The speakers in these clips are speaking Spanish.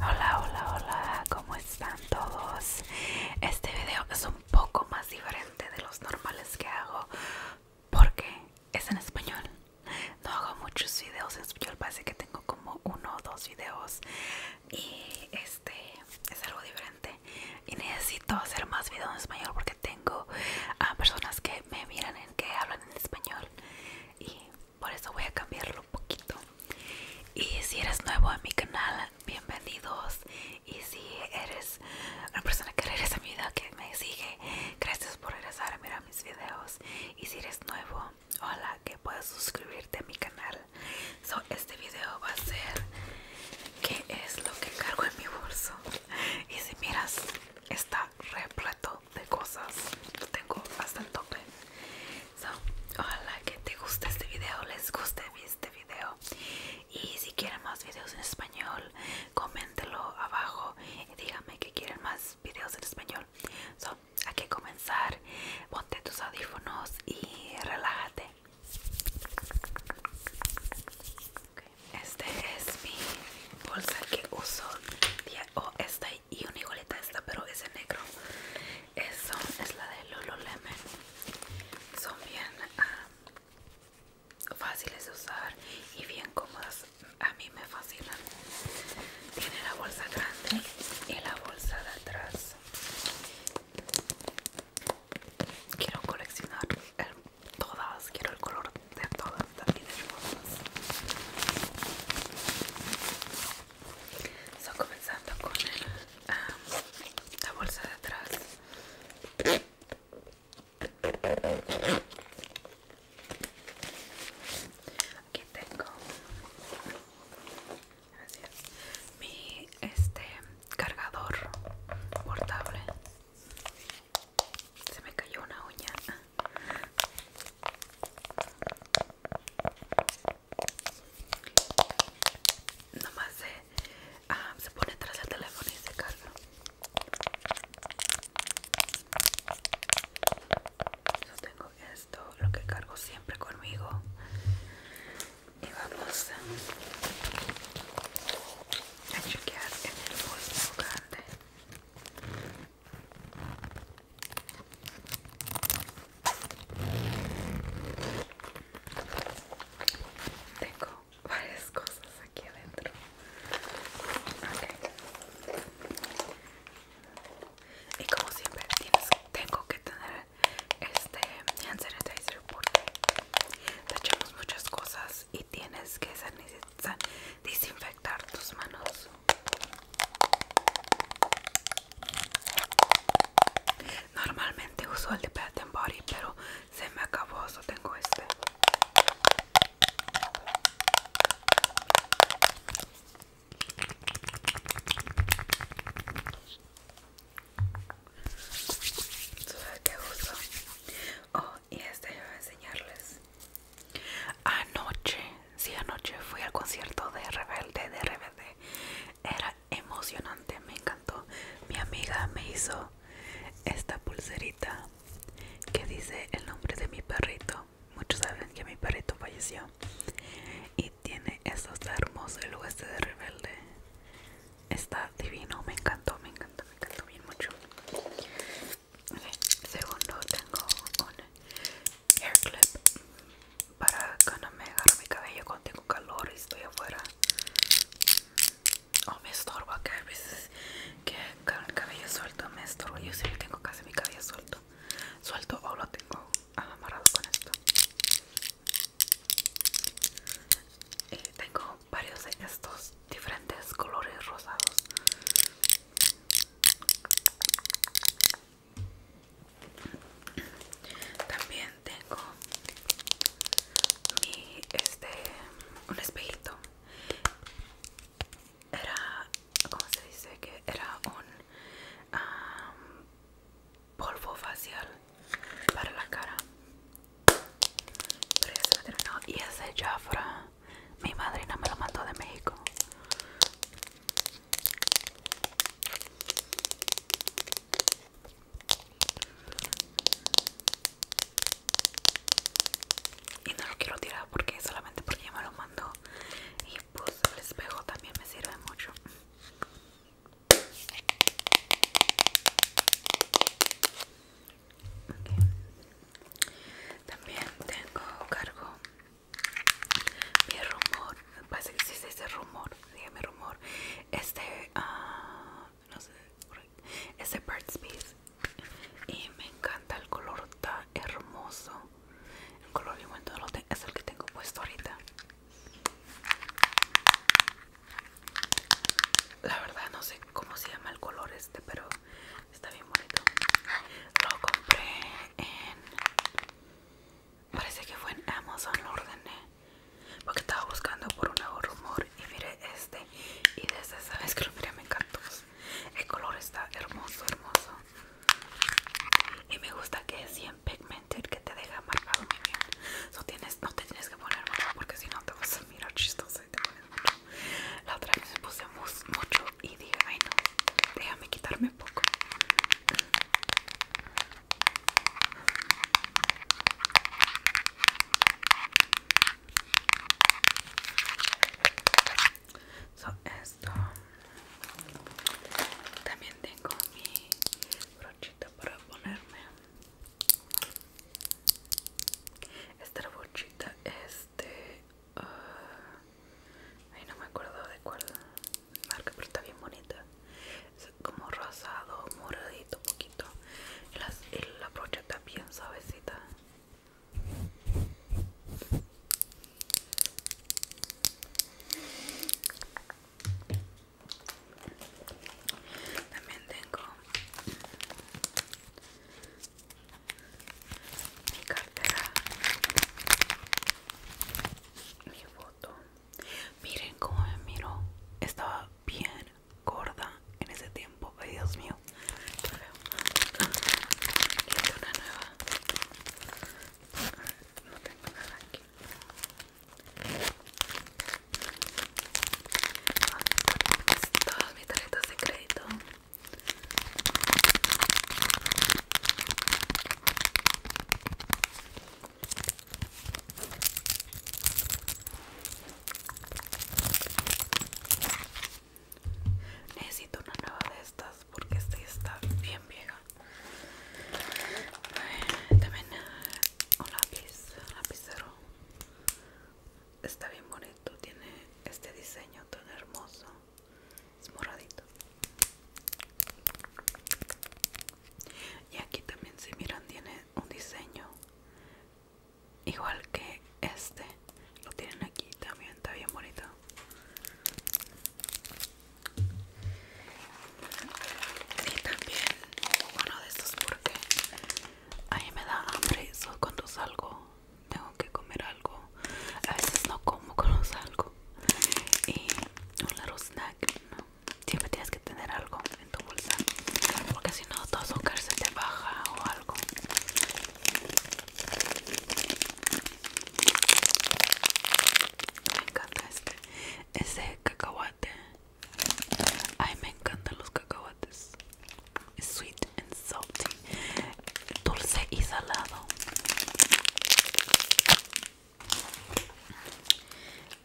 Hola, hola, hola, ¿cómo están todos? Este video es un poco más diferente de los normales que hago porque es en español. No hago muchos videos en español, parece que tengo como uno o dos videos y este es algo diferente. Y necesito hacer más videos en español porque tengo a personas que me miran en que hablan en español y por eso voy a cambiarlo un poquito y si eres nuevo en mi canal bienvenidos y si eres una persona que regresa a mi vida que me sigue gracias por regresar a mirar mis videos y si eres nuevo hola que puedas suscribirte a mi canal este video va a ser qué es lo que cargo en mi bolso y si miras está repleto de cosas lo tengo bastante. el tope que te guste este video les guste este video y si quieren más videos en español coméntelo abajo y díganme que quieren más videos en español so, hay que comenzar ponte tus audífonos y relájate este es mi bolsa que uso esta y una igualita esta, pero es en negro. Eso es la de lemon Son bien ah, fáciles de usar y bien cómodas. A mí me fascinan. Tiene la bolsa grande y la bolsa de atrás. Quiero coleccionar el todas, quiero el color de todas, también hermosas. So, comenzando con la bolsa de atrás. Aquí tengo mi este cargador portable se me cayó una uña. Nomás se, pone tras el teléfono y se carga. Yo tengo esto, lo que cargo siempre conmigo. Y vamos a chequear en el bolsillo grande tengo varias cosas aquí adentro y como siempre tienes, tengo que tener este hand porque te echamos muchas cosas y tienes que ser necesario desinfectar, tus manos. Normalmente uso el de Pet Body, pero se me acabó, so tengo este. ¿Qué uso? Oh, y este voy a enseñarles. Anoche, sí, anoche fui al concierto de Rebelde, de Rebelde. Era emocionante, me encantó. Mi amiga me hizo esta pulserita que dice el nombre de mi perrito. Muchos saben que mi perrito falleció. Y tiene estos hermosos el de Rebelde. Está divino, me encantó, me encantó me encantó bien mucho. Ok Segundo, tengo un hair clip para no me agarro mi cabello cuando tengo calor y estoy afuera. O oh, me estorbo que a veces que el cabello suelto me estorbo Yo siempre tengo casi mi cabello suelto. Suelto o lo tengo amarrado con esto. Y eh, tengo varios de estos diferentes colores rosados también tengo mi este un espejito era como se dice que era un polvo facial para la cara pero ya se terminó. Y ese Jafra, mi madrina me lo mandó de México. Y no lo quiero tirar porque solamente porque ya me lo mandó. Y pues el espejo también me sirve mucho. También tengo cargo mi rumor. parece que existe ese rumor. mi rumor. Este, ah, no sé, este Bird's Bees. Y me encanta el color, está hermoso. El color de de Es el que tengo puesto ahorita. La verdad no sé cómo se llama el color este, pero está bien bonito. Lo compré en... Parece que fue en Amazon, lo ordené. Porque estaba buscando por un nuevo rumor y miré este. Y desde esa vez que lo miré me encantó. El color está hermoso, hermoso. Y me gusta que es 100 pigmented, que te deja marcado muy bien. tienes, no te tienes que poner marcado porque si no te vas a mirar chistoso. La otra vez me puse mucho y dije, ay no, déjame quitarme poco. So, esto también tengo mi brochita para ponerme esta brochita este ah, no me acuerdo de cuál marca, pero está bien bonita. Es como rosado, moradito, poquito. Y, la brocha está bien suavecita. También tengo mi cartera, mi foto. Miren cómo me miro. Estaba bien gorda en ese tiempo. Ay, Dios mío. una nueva. No tengo nada aquí todas mis tarjetas de crédito Necesito una nueva de estas porque esta está bien vieja. A ver, también ah, un lápiz, un lapicero está bien bonito tiene este diseño tan hermoso es moradito y aquí también si miran tiene un diseño igual que este lo tienen aquí también está bien bonito y también uno de estos porque a mí me da hambre, solo cuando salgo tengo que comer algo. A veces no como cuando salgo. Y un little snack, Siempre tienes que tener algo en tu bolsa. Porque si no, todo azúcar se te baja o algo. Me encanta este. Ese cacahuate. Ay, me encantan los cacahuates sweet and salty, dulce y salado.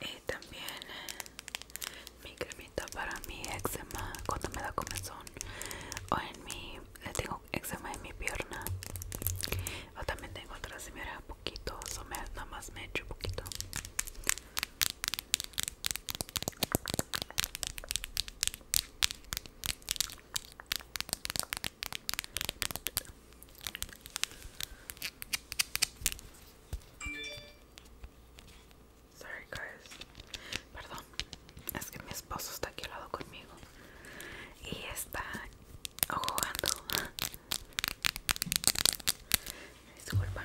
Y también mi cremita para mi eczema cuando me da comezón o en mi eh, tengo eczema en mi pierna o también tengo otra señora poquito, o me, nada más me echo poquito Sorry guys. Perdón, es que mi esposo está aquí al lado conmigo y está jugando. Disculpa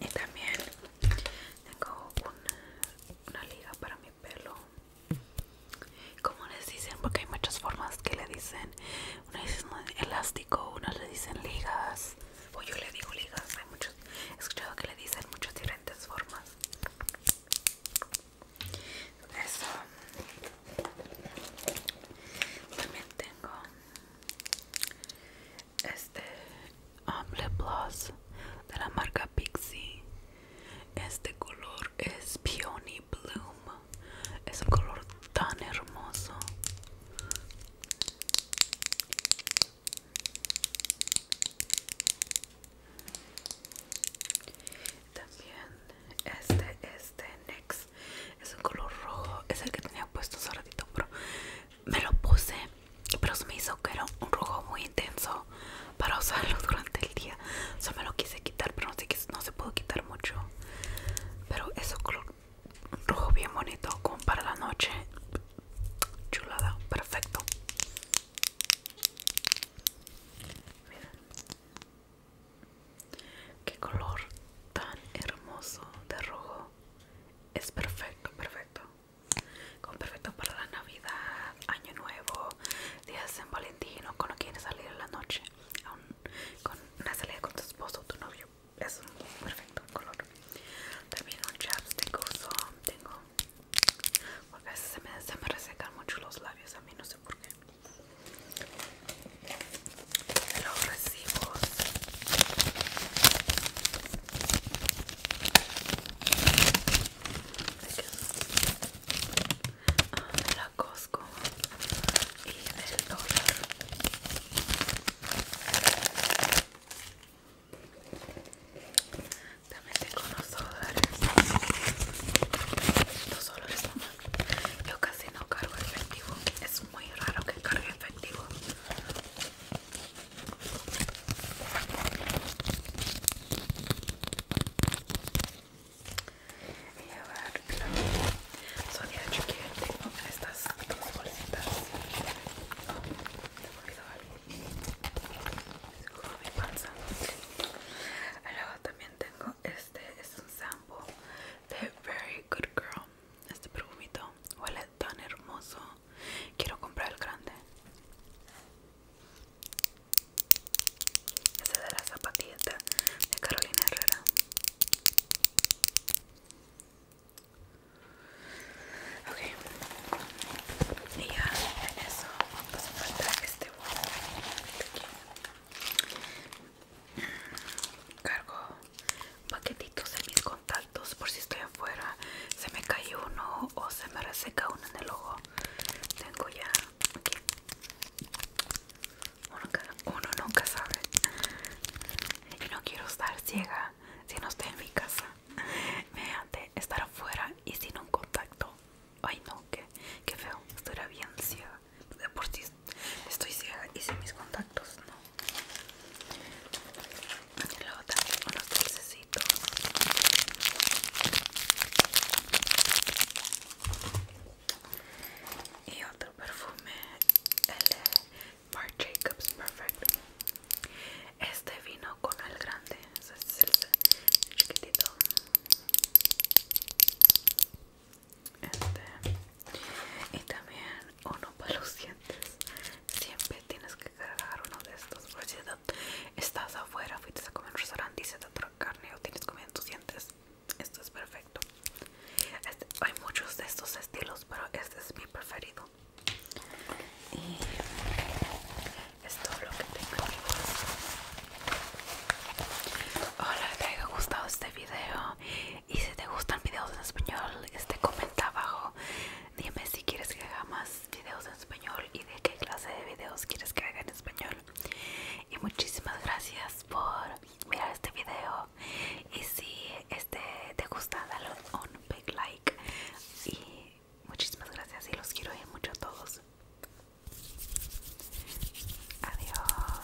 y también tengo una, una liga para mi pelo como les dicen porque hay muchas formas que le dicen unas dicen elástico unas le dicen ligas o yo le digo ligas hay he escuchado que le dicen muchas diferentes formas eso también tengo este amble lip de la marca Pixie este color es Peony Bloom es un color tan hermoso también este este next es un color rojo es el que tenía puesto hace ratito pero me lo puse, pero se me hizo que era un rojo muy intenso para usarlo durante el día. O sea, me lo quise quitar, pero no se, no se pudo quitar mucho. Pero es un rojo bien bonito, como para la noche. Chulada, perfecto. Miren. Qué color tan hermoso de rojo. Es perfecto, perfecto con perfecto para la Navidad, Año Nuevo, Días de San Valentín o cuando quieres salir en la noche. con una salida con tu esposo o tu novio. Es un perfecto color. También un chapstick uso. Tengo. Porque a veces se me, se me resecan mucho los labios. A mí no sé por qué. Los recibos. Ah, la Cosco y el dólar. También tengo unos dólares. olores dólares Yo casi no cargo efectivo. Es muy raro que cargue efectivo. Y a Sonia, yo quiero tengo estas dos bolsitas. De oh, me he movido algo. Es como mi panza. Luego también tengo este, es un sample de Very Good Girl este perfumito. Huele tan hermoso. Quiero comprar el grande. ese de la zapatilleta de Carolina Herrera. Ok. Y ya en eso a falta este aquí. Cargo paquetitos en mis contactos por si estoy afuera se me cae uno o se me reseca uno en el ojo tengo ya aquí uno, nunca sabe y no quiero estar ciega si no estoy en mi casa mediante estar afuera y sin un contacto ay no que qué feo Estoy bien ciega por si estoy ciega y sin mis contactos no y luego también unos Y otro perfume, el de Marc Jacobs Perfect. Este vino con el grande, ese es el chiquitito. Este. Y también uno para los dientes. Siempre tienes que uno de estos. Por si estás afuera, fuiste a comer un restaurante y se te carne o tienes comida en tus dientes. Esto es perfecto. Este, hay muchos de estos estilos, pero este es mi preferido. Y es todo lo que tengo Hola, te haya gustado este video. Y si te gustan videos en español, este comenta abajo Dime si quieres que haga más videos en español y de qué clase de videos quieres que haga en español. Y muchísimas gracias por mirar este video. Y si este te gusta, dale un big like. Y muchísimas gracias y los quiero mucho a todos. Adiós.